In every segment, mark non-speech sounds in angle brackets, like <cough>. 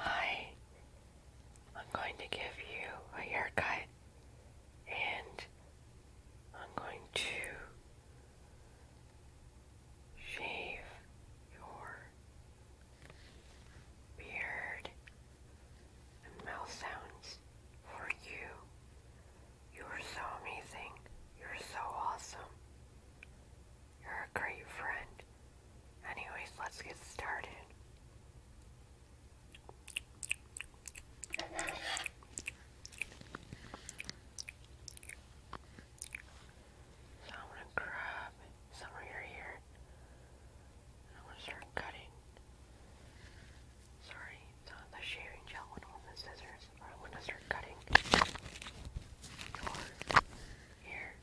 Hi, I'm going to give you a haircut and I'm going to shave your beard, and mouth sounds for you. You are so amazing. You're so awesome. You're a great friend. Anyways, let's get started. So I'm gonna grab somewhere here. And I'm gonna start cutting. Sorry, the shaving gel and on the scissors. I'm gonna start cutting. Or here.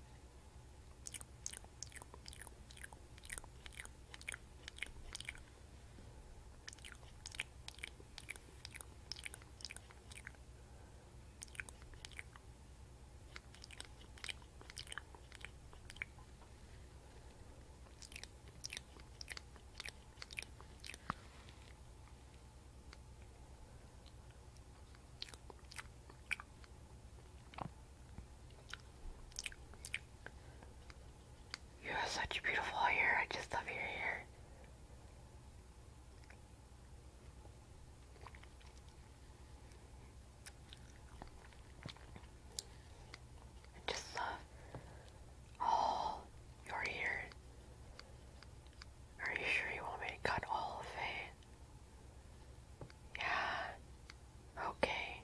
You have such beautiful hair. I just love your hair. I just love all your ears. Are you sure you want me to cut all of it? Yeah. Okay.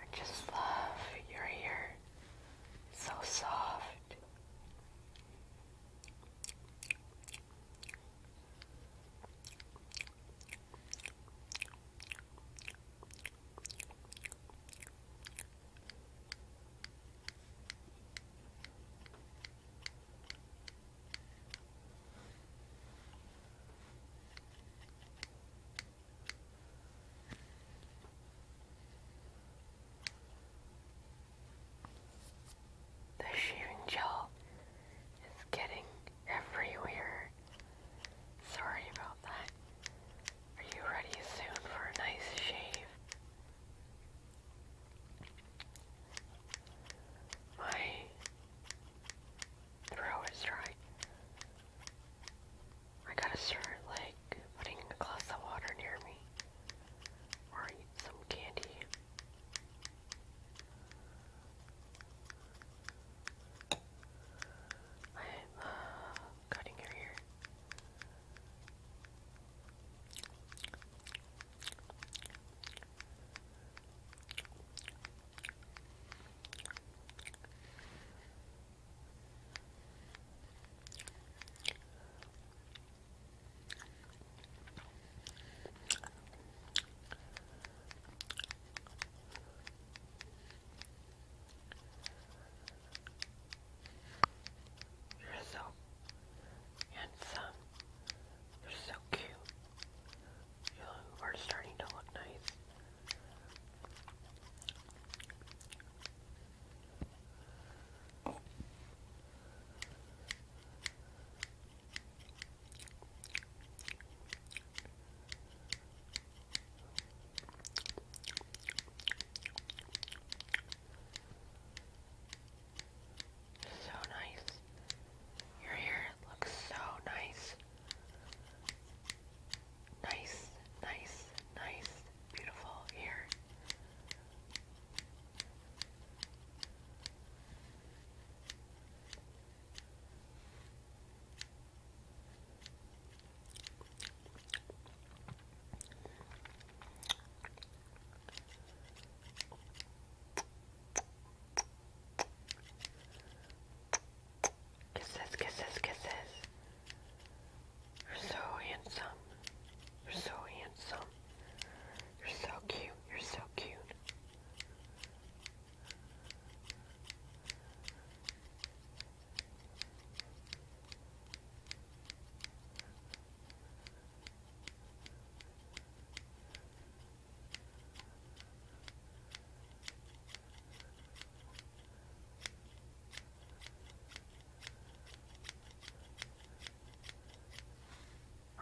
I just love your hair. so soft. The shaving gel is getting everywhere. Sorry about that. Are you ready soon for a nice shave? My throw a strike. I gotta start like putting a glass of water near me or eat some candy. I'm uh, cutting your hair. You're so handsome. You're so cute. You are starting to look nice. So nice. Your hair looks so nice. Nice, nice, nice, beautiful here. Kisses, kisses, kisses. You're so handsome. You're so handsome. You're so cute. You're so cute.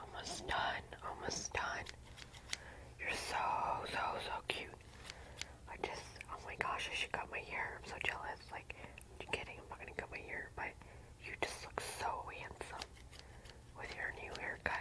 Almost done, almost done. You're so, so, so cute. I just, oh my gosh, I should cut my hair. I'm so jealous. Like, I'm kidding, I'm not gonna cut my hair, but you just look so handsome with your new haircut.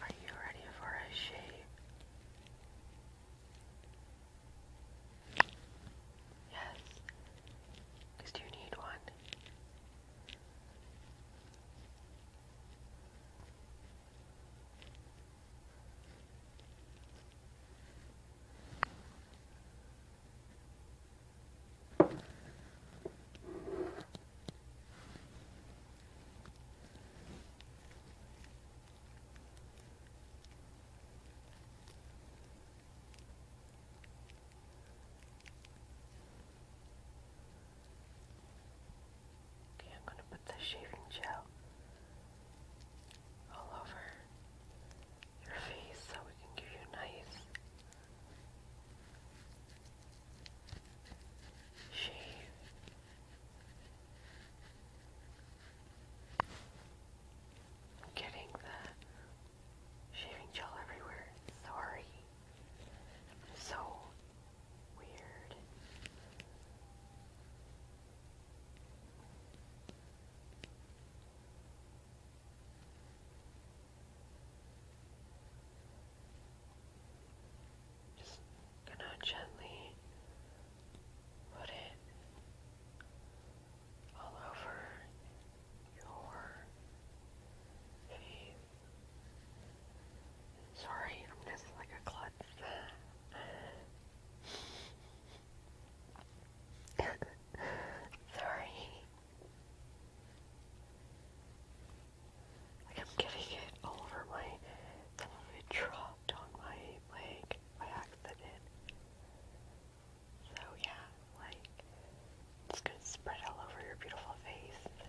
Are you ready for a shave? Yes. Because you need one. Okay, I'm going to put the shaving gel all over your face so we can give you nice she I'm getting the shaving gel everywhere. Sorry. So weird. Just gonna gently put it all over your feet. Sorry, I'm just like a klutz. <laughs> Sorry. Like I'm getting it all over my, some of it dropped on my leg by accident. So yeah, like, it's gonna spread all over your beautiful face.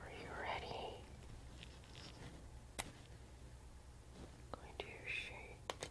Are you ready? going to shake your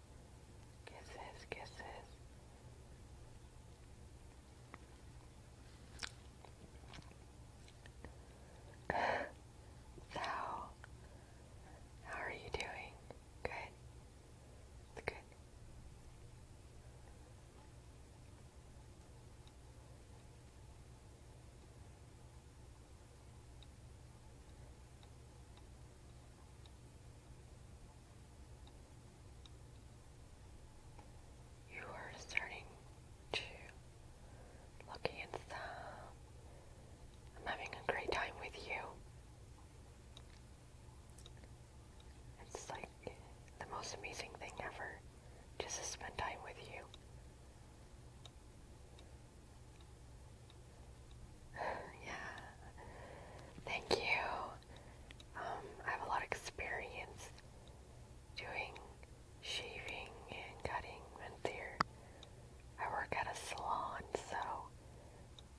Kisses, kisses. so, how are you doing? Good? It's good. You are starting to look handsome. I'm having a great time with you. It's like the most amazing thing ever just to spend time with you yeah. Thank you. Um, I have a lot of experience doing shaving and cutting menthir. I work at a salon, so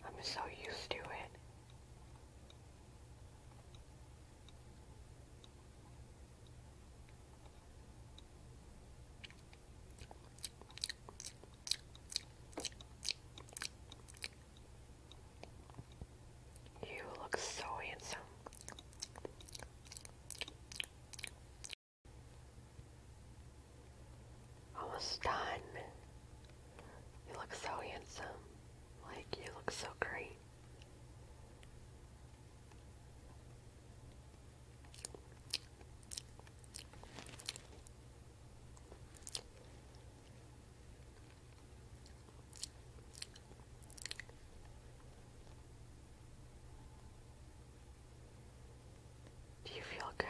I'm so used to it. You look so handsome. Almost done. You look so handsome. Like, you look so great. Do you feel good?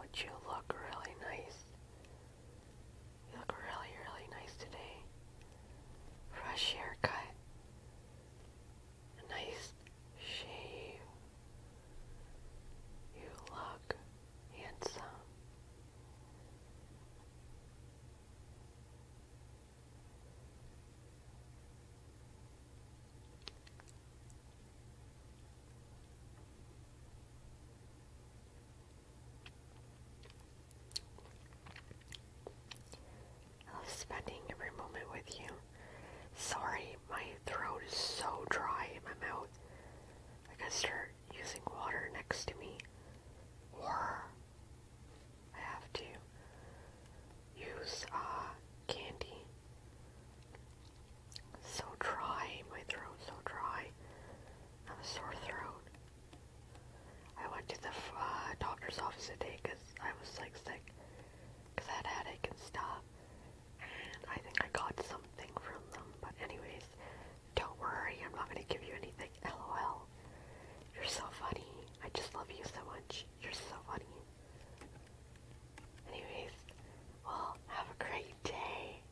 Would you look really nice? You look really, really nice today. Fresh haircut. nice she. You look handsome. I love spending every moment with you. Sorry, my throat is so dry in my mouth. I gotta start using water next to me. Or I have to use uh, candy. So dry, my throat so dry. I have a sore throat. I went to the uh, doctor's office today because I was like sick because I had a headache and stuff. I think I got something from them. But anyways, don't worry, I'm not gonna give you anything. LOL. You're so funny. I just love you so much. You're so funny. Anyways, well, have a great day.